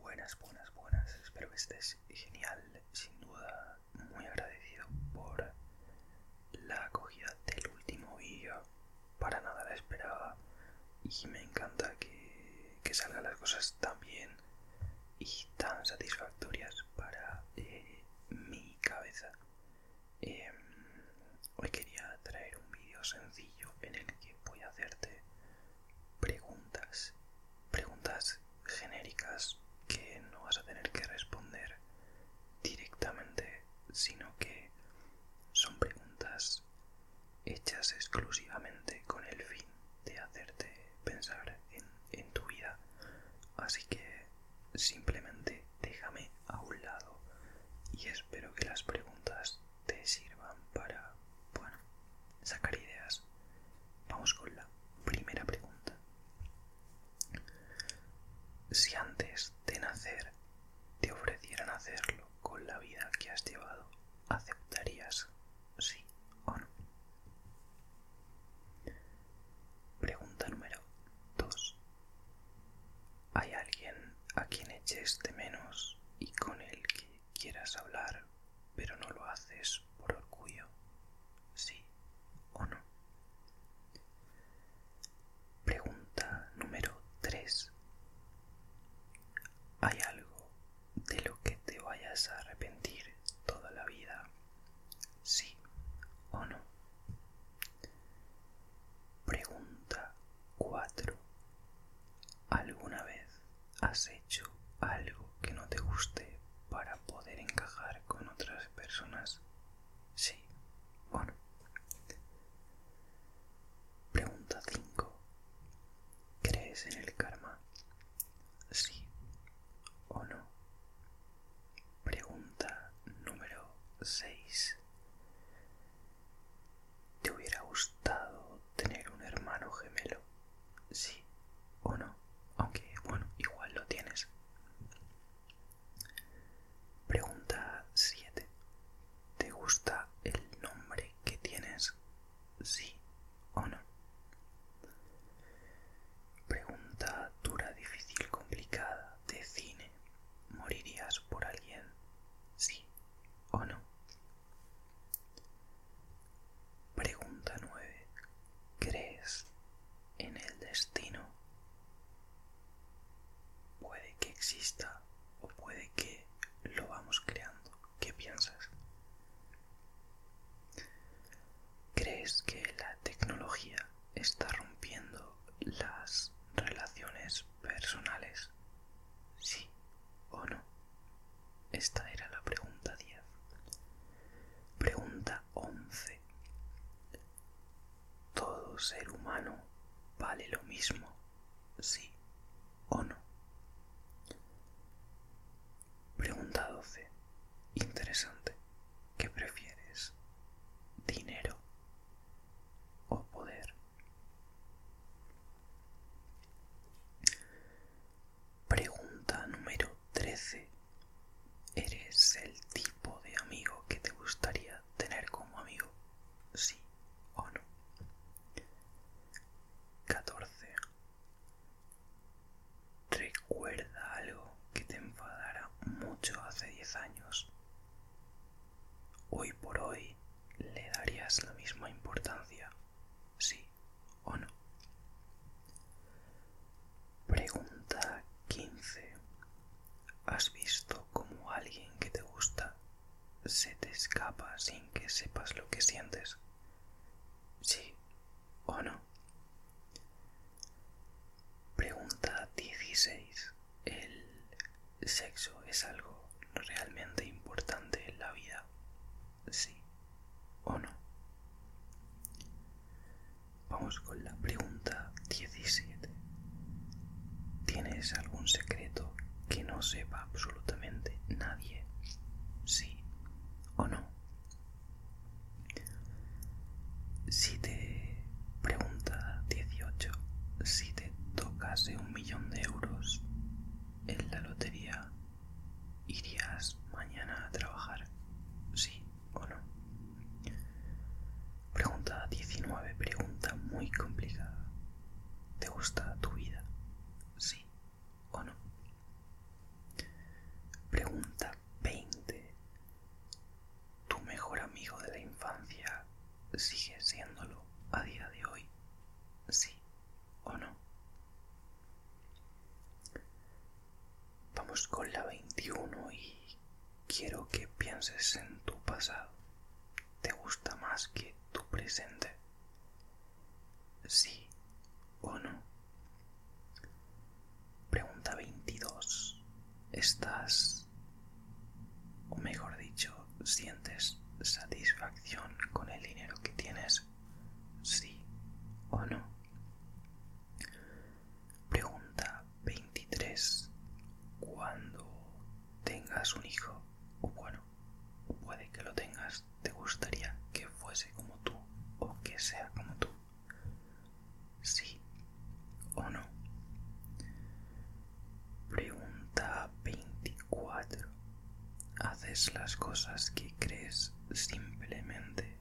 Buenas, buenas, buenas. Espero que estés genial. Sin duda, muy agradecido por la acogida del último vídeo. Para nada la esperaba. Y me encanta que, salgan las cosas tan bien y tan satisfactorias para eh, mi cabeza. Em, Hoy quería traer un vídeo sencillo en el que voy a hacerte preguntas, preguntas genéricas que no vas a tener que responder directamente, sino que son preguntas hechas exclusivamente con el fin de hacerte pensar en, tu vida. Así que simplemente déjame a un lado y espero que las preguntas te sirvan para, bueno, sacar ideas. Vamos con la primera pregunta. Si antes de nacer te ofrecieran hacerlo con la vida que has llevado, ¿aceptarías sí o no? Pregunta número 2. Hay alguien a quien eches de menos y con el que quieras hablar, pero no lo haces por orgullo, sí o no. Pregunta número 3. ¿Hay algo de lo que te vayas a arrepentir toda la vida? Sí o no. Pregunta 4. ¿Alguna vez has hecho algo que no te guste para poder encajar con otras personas? Sí bueno Pregunta 5. ¿Crees en el karma? Sí o no. Pregunta número 6. ¿Te hubiera gustado tener un hermano gemelo? Sí o no, aunque bueno, igual lo tienes. Pregunta 7. ¿Te gusta el nombre que tienes? Sí o no. Pregunta dura, difícil, complicada, de cine. ¿Morirías por alguien? Sí o no. Pregunta 9. ¿Crees en el destino? Puede que exista o puede que lo vamos creando. ¿Qué piensas? ¿Crees que la tecnología está rompiendo las relaciones personales? Sí o no? Esta era la pregunta 10. Pregunta 11. ¿Todo ser humano vale lo mismo? ¿Sí o no? Pregunta 12. Interesante. ¿Qué prefieres? ¿Dinero o poder. Pregunta número 13. ¿Eres el tipo de amigo que te gustaría tener como amigo? Sí o no. 14. ¿Recuerda algo que te enfadara mucho hace 10 años? hoy por hoy le darías la misma importancia, sí o no. Pregunta 15. ¿Has visto como alguien que te gusta se te escapa sin que sepas lo que sientes? Sí o no. Pregunta 16. El sexo es algo realmente importante en la vida, sí o no. Vamos con la pregunta 17. ¿Tienes algún secreto que no sepa absolutamente nadie? Sí o no. Si te pregunta 18, si te tocas de un millón de euros en la lotería, ¿irías mañana a trabajar? ¿Sí o no? Pregunta 19, pregunta muy complicada. ¿Te gusta tu vida? ¿Sí o no? Pregunta 20. ¿Tu mejor amigo de la infancia sigue siéndolo a día de hoy, sí o no. Vamos con la 21 y quiero que pienses en tu pasado. ¿Te gusta más que tu presente? Sí o no. Pregunta 22. ¿Estás o mejor dicho, sientes satisfacción con el dinero que tienes, sí o no. Pregunta 23. Cuando tengas un hijo, o bueno, puede que lo tengas, te gustaría que fuese como tú o que sea como tú, sí o no. Pregunta 24. ¿Haces las cosas que crees simplemente?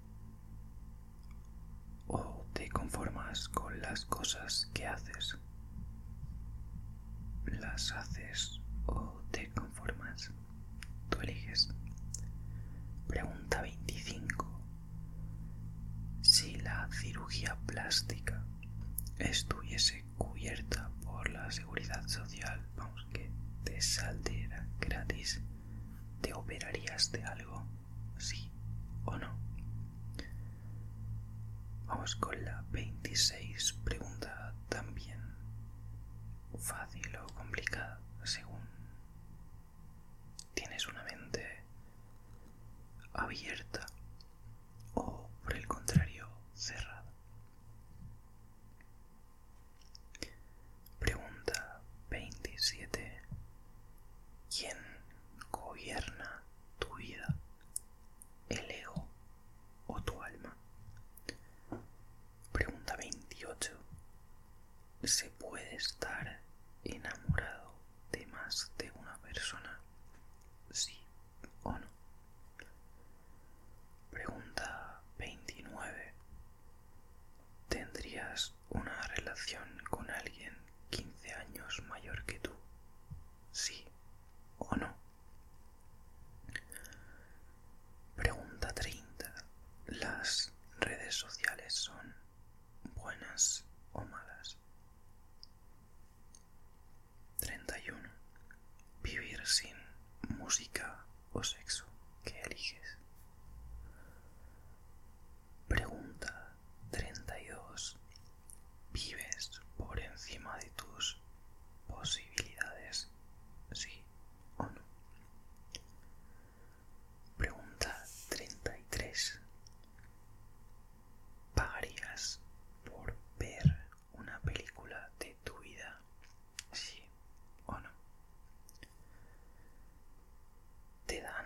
¿O te conformas con las cosas que haces? ¿Las haces o te conformas? Tú eliges. Pregunta 25. Si la cirugía plástica estuviese cubierta por la seguridad social, vamos, que te saldría gratis, ¿te operarías de algo? ¿Sí o no? Vamos con la 26 pregunta también fácil o complicada según tienes una mente abierta o por el contrario cerrada. Pregunta 27. ¿Quién gobierna tu vida? ¿El ego o tu alma? Pregunta 28. ¿Se puede estar enamorado de más de una persona? Sí o no. Pregunta 29. ¿Tendrías una relación con alguien 15 años mayor que tú? ¿Sí o no? Pregunta 30. ¿Las redes sociales son buenas o malas? 31. Vivir sin música o sexo. ¿Qué eliges? Pregunta 32. ¿Vives por encima de tus posibilidades? Sí o no. Pregunta 33. ¿Pagarías por ver una película de tu vida, sí o no. Te dan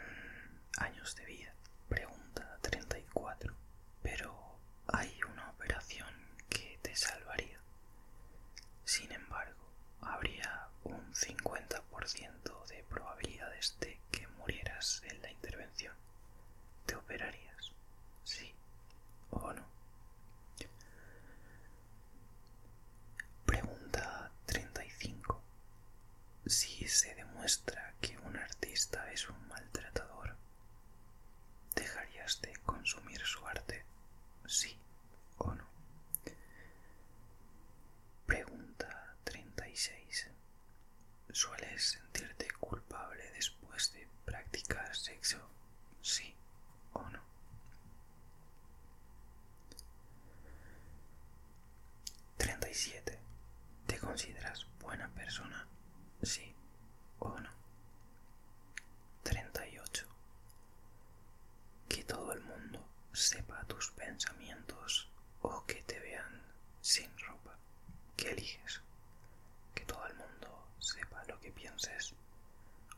años de vida, pregunta 34, pero hay una operación que te salvaría. Sin embargo, habría un 50% de probabilidades de que murieras en la intervención. ¿Te operarías? Sí o no. Pregunta 35. Si se demuestra que un artista es un maltratador, ¿dejarías de consumir su arte? Sí o no. Pregunta 36. ¿Sueles sentirte culpable después de practicar sexo? sí o no. 37. ¿Te consideras buena persona? Sí o no. 38. Que todo el mundo sepa tus pensamientos o que te vean sin ropa. ¿Qué eliges? que todo el mundo sepa lo que pienses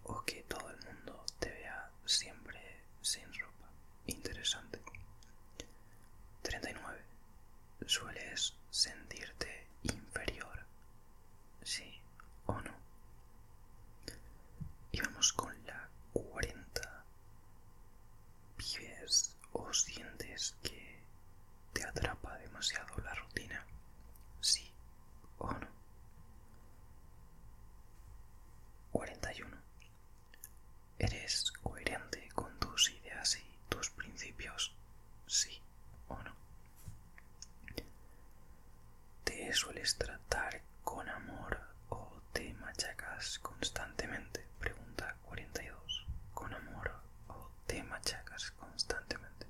o que todo el mundo te vea siempre sin ropa. Interesante. 39. Sueles sentirte inferior. Sí o no. Y vamos con la 40. Vives o sientes que ¿Te atrapa demasiado la rutina? ¿Sí o no? 41. ¿Eres coherente con tus ideas y tus principios? ¿Sí o no? ¿Te sueles tratar con amor o te machacas constantemente? Pregunta 42. ¿Con amor o te machacas constantemente?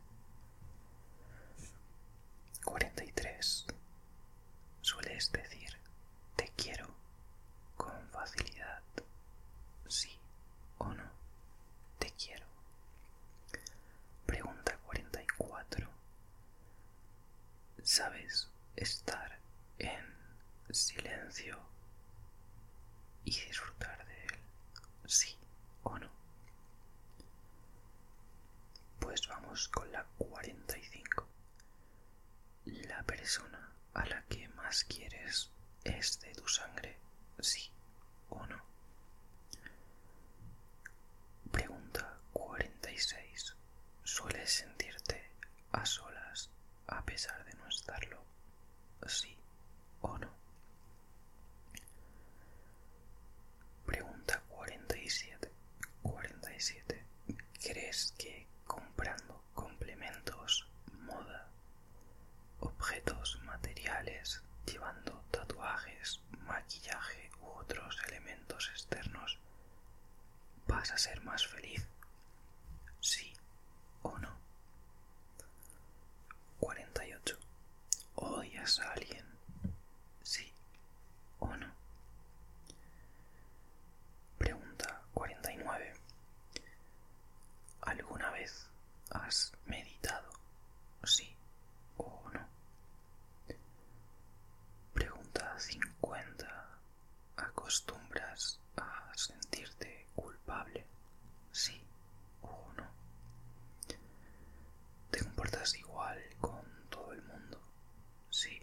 43. Sueles decir te quiero con facilidad. Sí o no. Te quiero. Pregunta 44. ¿Sabes estar en silencio y disfrutar de él? Sí o no. Pues vamos con la 45. La persona a la que más quieres es de tu sangre, sí o no. Pregunta 46. ¿Sueles sentirte a solas a pesar de no estarlo? Sí o no. Pregunta 47. 47. ¿Crees que comprando complementos, moda, objetos materiales, llevando tatuajes, maquillaje u otros elementos externos, vas a ser más feliz? ¿Sí o no? 48. ¿Odias a alguien? Sí o no. Pregunta 49. ¿Alguna vez has meditado? Sí o no. Pregunta 50. ¿Acostumbras a sentirte culpable? Sí no ¿Te comportas igual con todo el mundo? Sí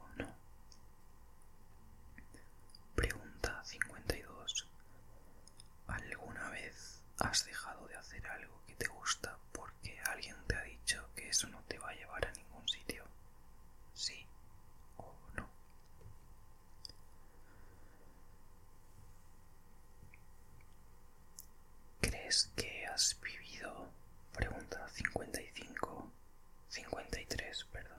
o no. Pregunta 52. ¿Alguna vez has dejado de hacer algo que te gusta porque alguien te ha dicho que eso no te va a llevar a ningún sitio? Sí o no. ¿Crees que has vivido? Pregunta 55. 53, perdón.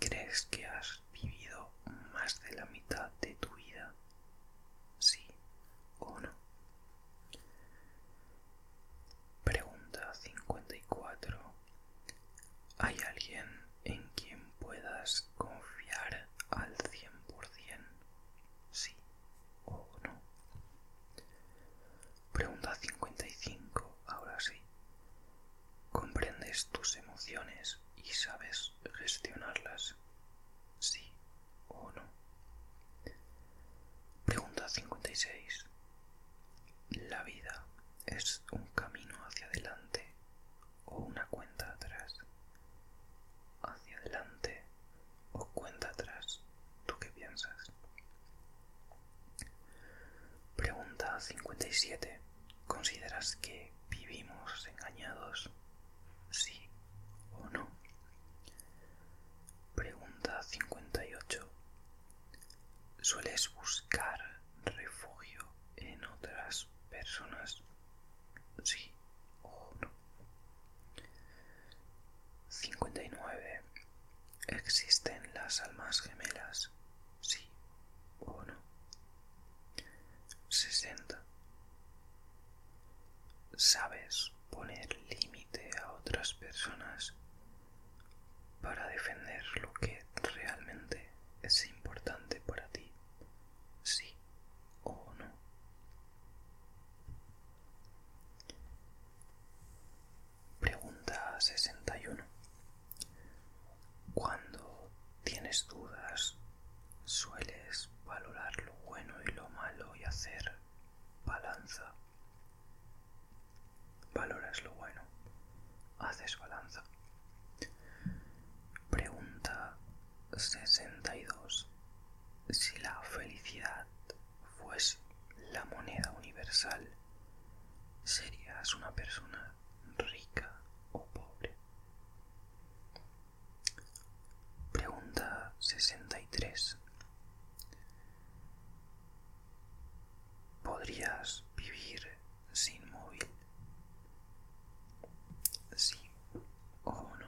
¿Crees que has vivido más de la mitad de tu vida? Sí o no. Pregunta 54. ¿Hay alguien en quien puedas confiar al 100%? sí o no. Pregunta 55, ahora sí. ¿Comprendes tus emociones y sabes gestionarlas? Sí o no. Pregunta 56. ¿La vida es un camino hacia adelante o una cuenta atrás. Hacia adelante o cuenta atrás. ¿Tú qué piensas? Pregunta 57. ¿Consideras que vivimos engañados? ¿Sí o no? Pregunta 58. ¿Sueles buscar refugio en otras personas? Sí, 59. ¿Existen las almas gemelas? Sí o no. 60. ¿Sabes poner límite a otras personas para defender lo que realmente es importante para ti sí o no. Pregunta 61. Cuando tienes dudas, sueles valorar lo bueno y lo malo y hacer balanza. Valoras lo bueno, haces balanza. Pregunta 62. Si la felicidad fuese la moneda universal, serías una persona rica o pobre. Pregunta 63. ¿Podrías vivir sin móvil? Sí o no.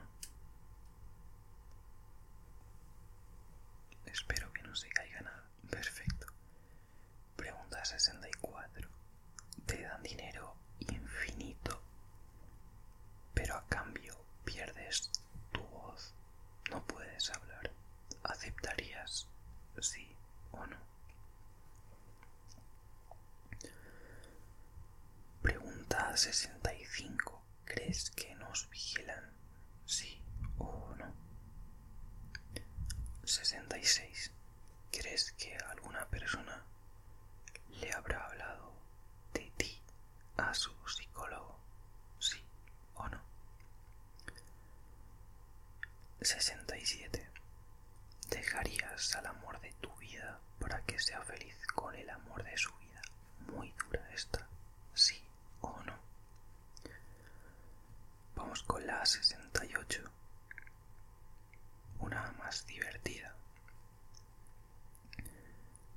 Espero que no se caiga nada. Perfecto. Pregunta 64. Te dan dinero infinito, pero a cambio pierdes tu voz. No puedes hablar. ¿Aceptarías sí o no? Pregunta 65. ¿Crees que nos vigilan? Sí o no. 66. ¿Crees que alguna persona le habrá hablado de ti a su psicólogo? Sí o no. 67. ¿Dejarías al amor de tu vida para que sea feliz con el amor de su vida. Muy dura esta, sí o no. Vamos con la 68. Una más divertida.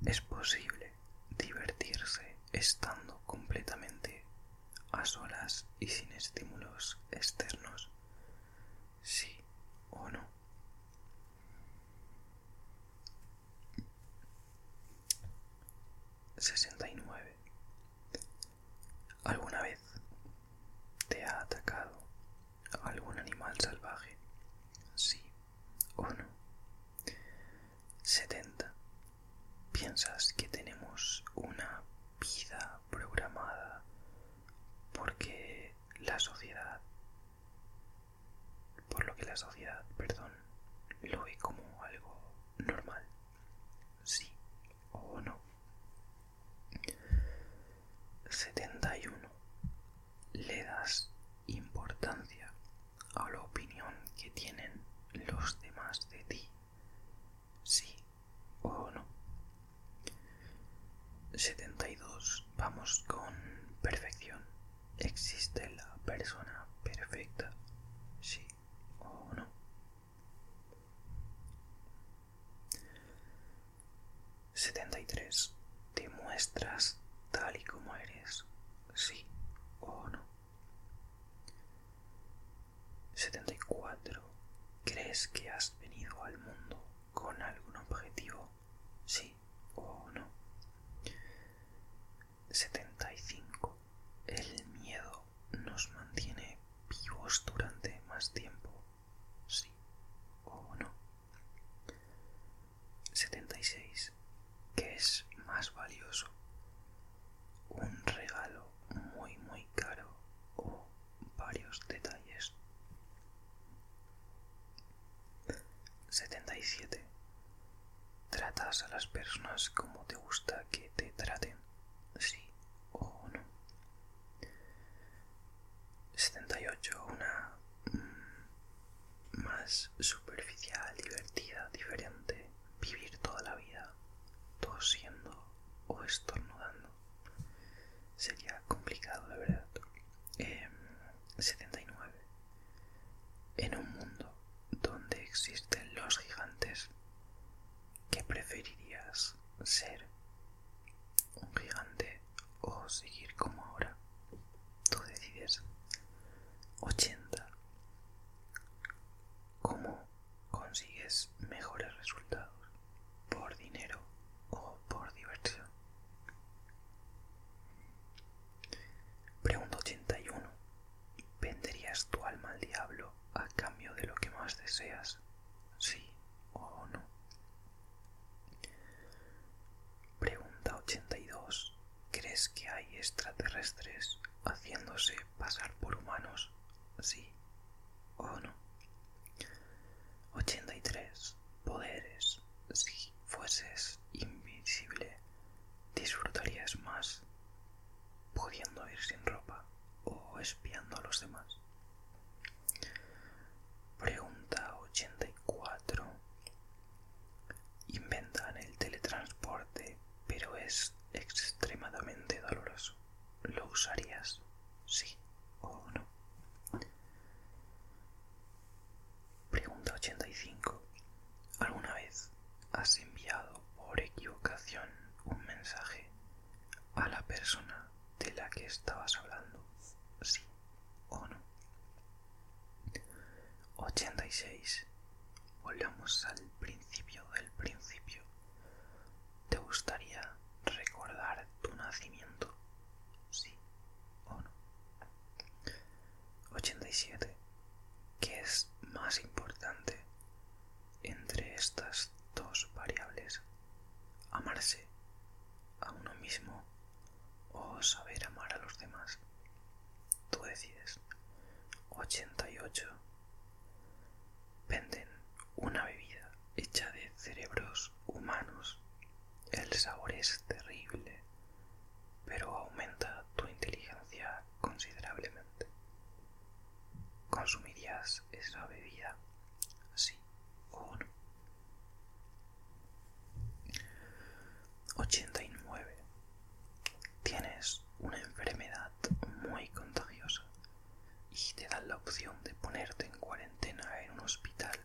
Es posible divertirse estando completamente a solas y sin estímulos externos. Sí o no. 69. ¿Alguna vez te ha atacado algún animal salvaje? Sí o no. 70. ¿Piensas que tenemos una vida programada porque la sociedad por lo que la sociedad, perdón, lo ve como algo normal, sí o no. 71. Le das importancia a la opinión que tienen los demás de ti, sí o no. 72 vamos, con perfección. ¿Existe la persona perfecta? Sí o no. 73. ¿Te muestras tal y como eres? Sí o no. 74. ¿Crees que has venido al mundo con algún objetivo? Sí o no. 75. El miedo nos mantiene vivos durante más tiempo. Sí o no. 76. ¿Qué es más valioso? Un regalo muy muy caro o varios detalles. 77. ¿Tratas a las personas como te gusta que te traten? Sí o no. 78. Una mm, más superficial, divertida, diferente. Vivir toda la vida tosiendo o estornudando. Sería complicado, de verdad. Em, 79. En un mundo donde existen los gigantes, ¿qué preferirías ser? ¿Un gigante o seguir como ahora? Tú decides. 80. ¿Cómo consigues mejores resultados? ¿Por dinero o por diversión? Pregunta 81. ¿Venderías tu alma al diablo a cambio de lo que más deseas? ¿Sí o no? Pregunta 82. ¿Crees que hay extraterrestres haciéndose pasar por humanos? ¿Sí o no? 83. Poderes si fueses invisible disfrutarías más pudiendo ir sin ropa o espiando a los demás. Pregunta 84. Inventan el teletransporte, pero es extremadamente doloroso. ¿Lo usarías? Sí o no. Pregunta 85. ¿Alguna vez has enviado por equivocación un mensaje a la persona de la que estabas hablando? Sí o no. 86. Volvamos al principio del principio. ¿Te gustaría recordar tu nacimiento? Sí o no. 87. ¿Qué es más importante entre estas dos variables? ¿Amarse a uno mismo o saber amar a los demás? Tú decides. 88. Venden una bebida hecha de cerebros humanos. El sabor es terrible pero aumenta tu inteligencia considerablemente. ¿Consumirías esa bebida? Sí o no. 89. Tienes una enfermedad muy contagiosa y te dan la opción de ponerte en cuarentena en un hospital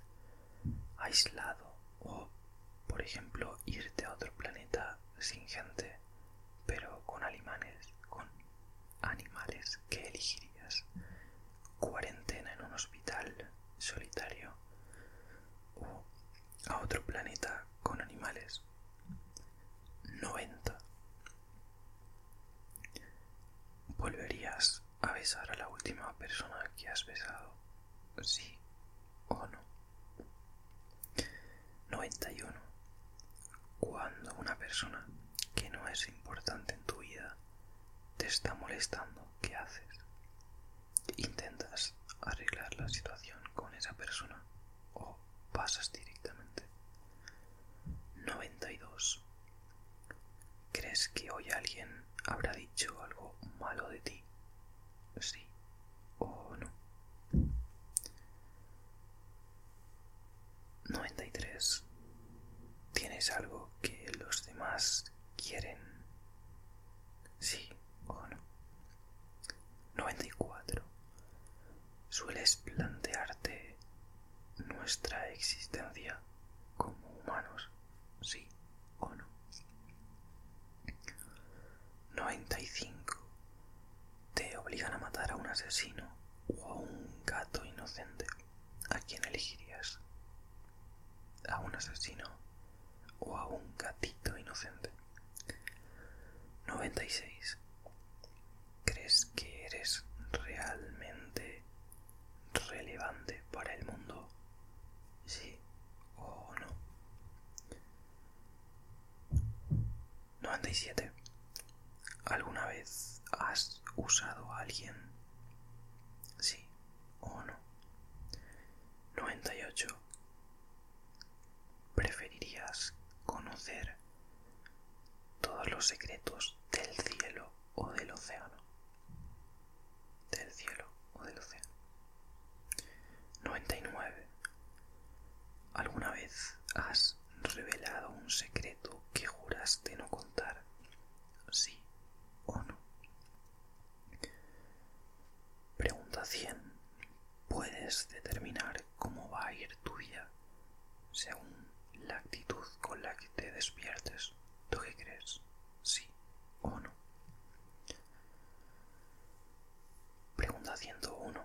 aislado o, por ejemplo, irte a otro planeta sin gente, pero con animales, con animales que elegirías. Cuarentena en un hospital solitario o a otro planeta con animales. 90. Volverías a besar a la última persona que has besado. Sí, 91. Cuando una persona que no es importante en tu vida te está molestando, ¿qué haces? ¿Intentas arreglar la situación con esa persona o pasas directamente? 92. ¿Crees que hoy alguien habrá dicho algo malo de ti sí o no. 93. ¿Tienes algo que los demás quieren? Sí o no. 94. ¿Sueles plantearte nuestra existencia como humanos? Sí 95. Te obligan a matar a un asesino o a un gato inocente. ¿A quién elegirías? ¿A un asesino o a un gatito inocente? 96. ¿Crees que eres realmente relevante para el mundo? Sí o no. 97. ¿Alguna vez has usado a alguien? Sí o no. 98. ¿Preferirías conocer todos los secretos del cielo o del océano? del cielo o del océano. 99. ¿Alguna vez has revelado un secreto que juraste no contar? Sí o no. Pregunta 100. ¿Puedes determinar cómo va a ir tu vida según la actitud con la que te despiertes? ¿Tú qué crees? ¿Sí o no? Pregunta 101.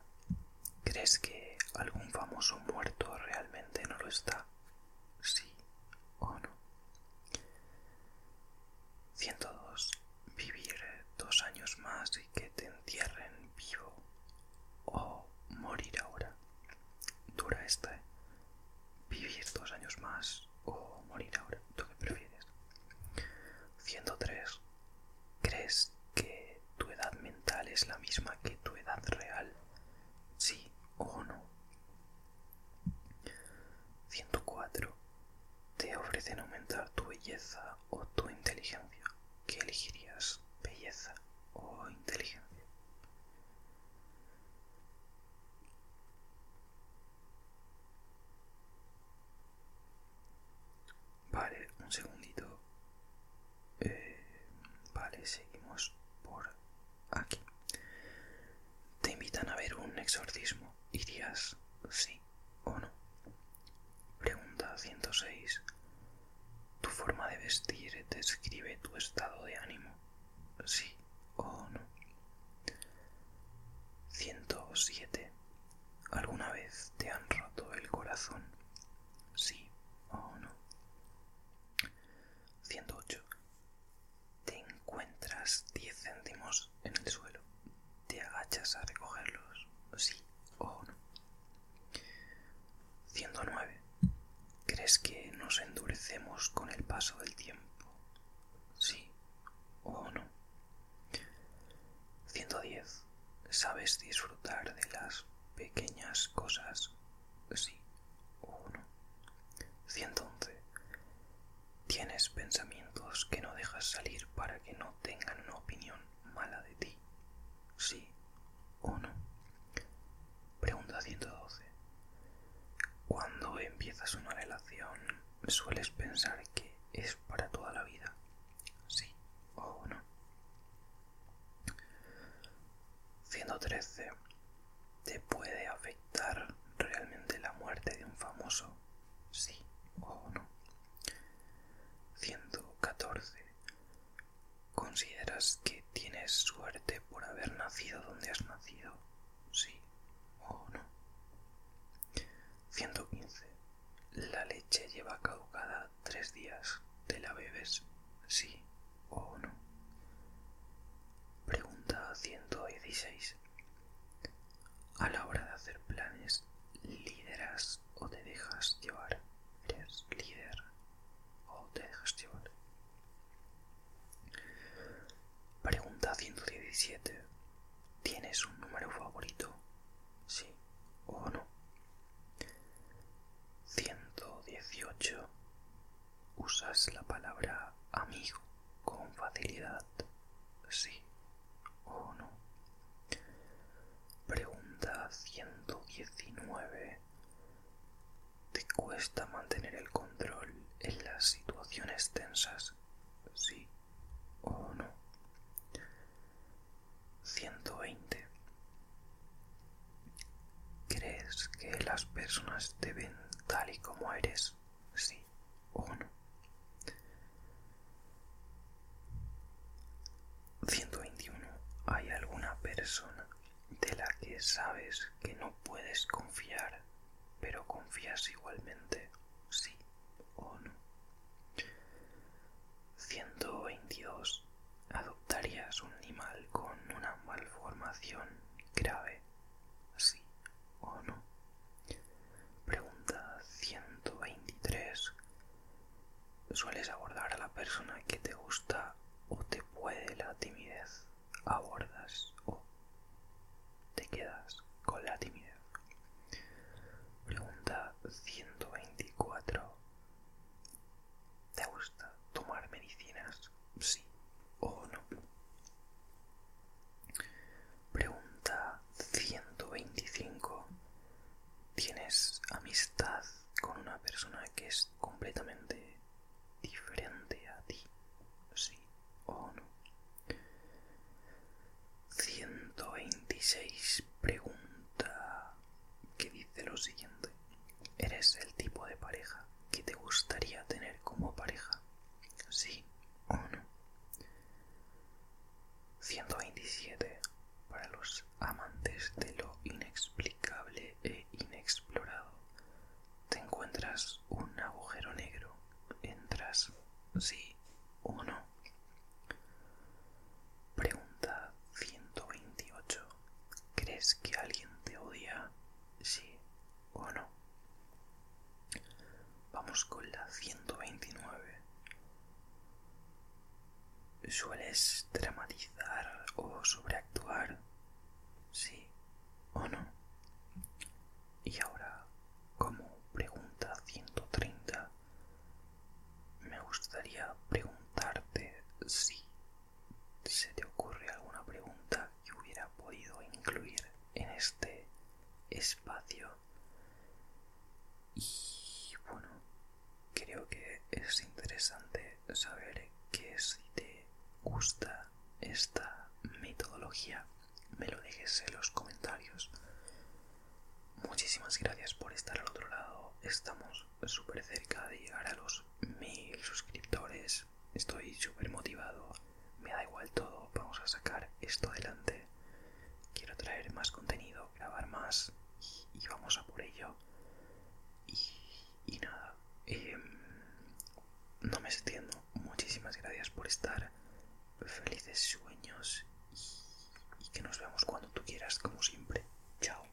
¿Crees que algún famoso muerto realmente no lo está? Sí o no. 102. Vivir dos años más y que te entierren vivo o morir ahora. Dura este? Vivir dos años más o morir ahora. ¿Tú qué prefieres? 103. ¿Crees que tu edad mental es la misma que tu edad real? Sí o no. 104. Te ofrecen aumentar tu belleza o tu inteligencia. ¿Qué elegirías? ¿Belleza o inteligencia? Vale, un segundito. Eh, vale, seguimos por aquí. Te invitan a ver un exorcismo. ¿Irías sí o no? Pregunta 106. ¿Tu forma de vestir te describe tu estado de ánimo? ¿Sí o no? 107. ¿Alguna vez te han roto el corazón? Sí o no. 108. Te encuentras 10 céntimos en el suelo. ¿Te agachas a recogerlos? Sí o no. 109. ¿Crees que nos endurecemos con el paso del tiempo? Sí o no. 110. ¿Sabes disfrutar de las pequeñas cosas? Sí o no. 111. Tienes pensamientos que no dejas salir para que no tengan una opinión mala de ti. Sí o no. Pregunta 112. Cuando empiezas una relación, ¿Sueles pensar que es para toda la vida? ¿Sí o no? 113. ¿Te puede afectar realmente la muerte de un famoso? ¿Sí o no? 114. ¿Consideras que tienes suerte por haber nacido donde has nacido? sí o no. 115. La leche lleva caducada tres días. ¿Te la bebes? Sí o no. Pregunta 116. A la hora de hacer planes, ¿lideras o te dejas llevar? ¿Eres líder o te dejas llevar? Pregunta 117. ¿Tienes un número favorito? Sí o no. 118. ¿Usas la palabra amigo con facilidad? Sí o no. Pregunta 119. ¿Te cuesta mantener el control en las situaciones tensas? Sí ¿O no? 120. ¿Crees que las personas te ven tal y como eres? Sí o no. 121. ¿Hay alguna persona de la que sabes que no puedes confiar, pero confías igualmente? Sí no 122. ¿Adoptarías un animal con una malformación grave? ¿Sí o no? Pregunta 123. ¿Sueles abordar a la persona que te gusta o te puede la timidez? ¿Abordas o te quedas con la timidez. Pregunta 124. ¿Te gusta tomar medicinas? Sí o no. Pregunta 125. ¿Tienes amistad con una persona que es completamente diferente a ti? Sí o no. 126 pregunta que dice lo siguiente. ¿Eres el tipo de pareja que te gustaría tener como pareja? Sí o no. 127. Para los amantes de lo inexplicable e inexplorado, te encuentras un agujero negro. ¿Entras sí o no? Pregunta 128. ¿Crees que alguien te odia? Sí o no. Vamos con la 129. ¿Sueles dramatizar o sobreactuar? Sí o no. Y ahora como pregunta 130, me gustaría preguntarte si se te ocurre alguna pregunta que hubiera podido incluir en este espacio. Y bueno, creo que es interesante saber que si te gusta esta metodología me lo dejes en los comentarios. Muchísimas gracias por estar al otro lado. Estamos súper cerca de llegar a los mil suscriptores. Estoy súper motivado. Me da igual todo. Vamos a sacar esto adelante. Quiero traer más contenido, grabar más y, vamos a por ello. Y, nada. Em, no me extiendo. Muchísimas gracias por estar felices sueños y, que nos vemos cuando tú quieras, como siempre. Chao.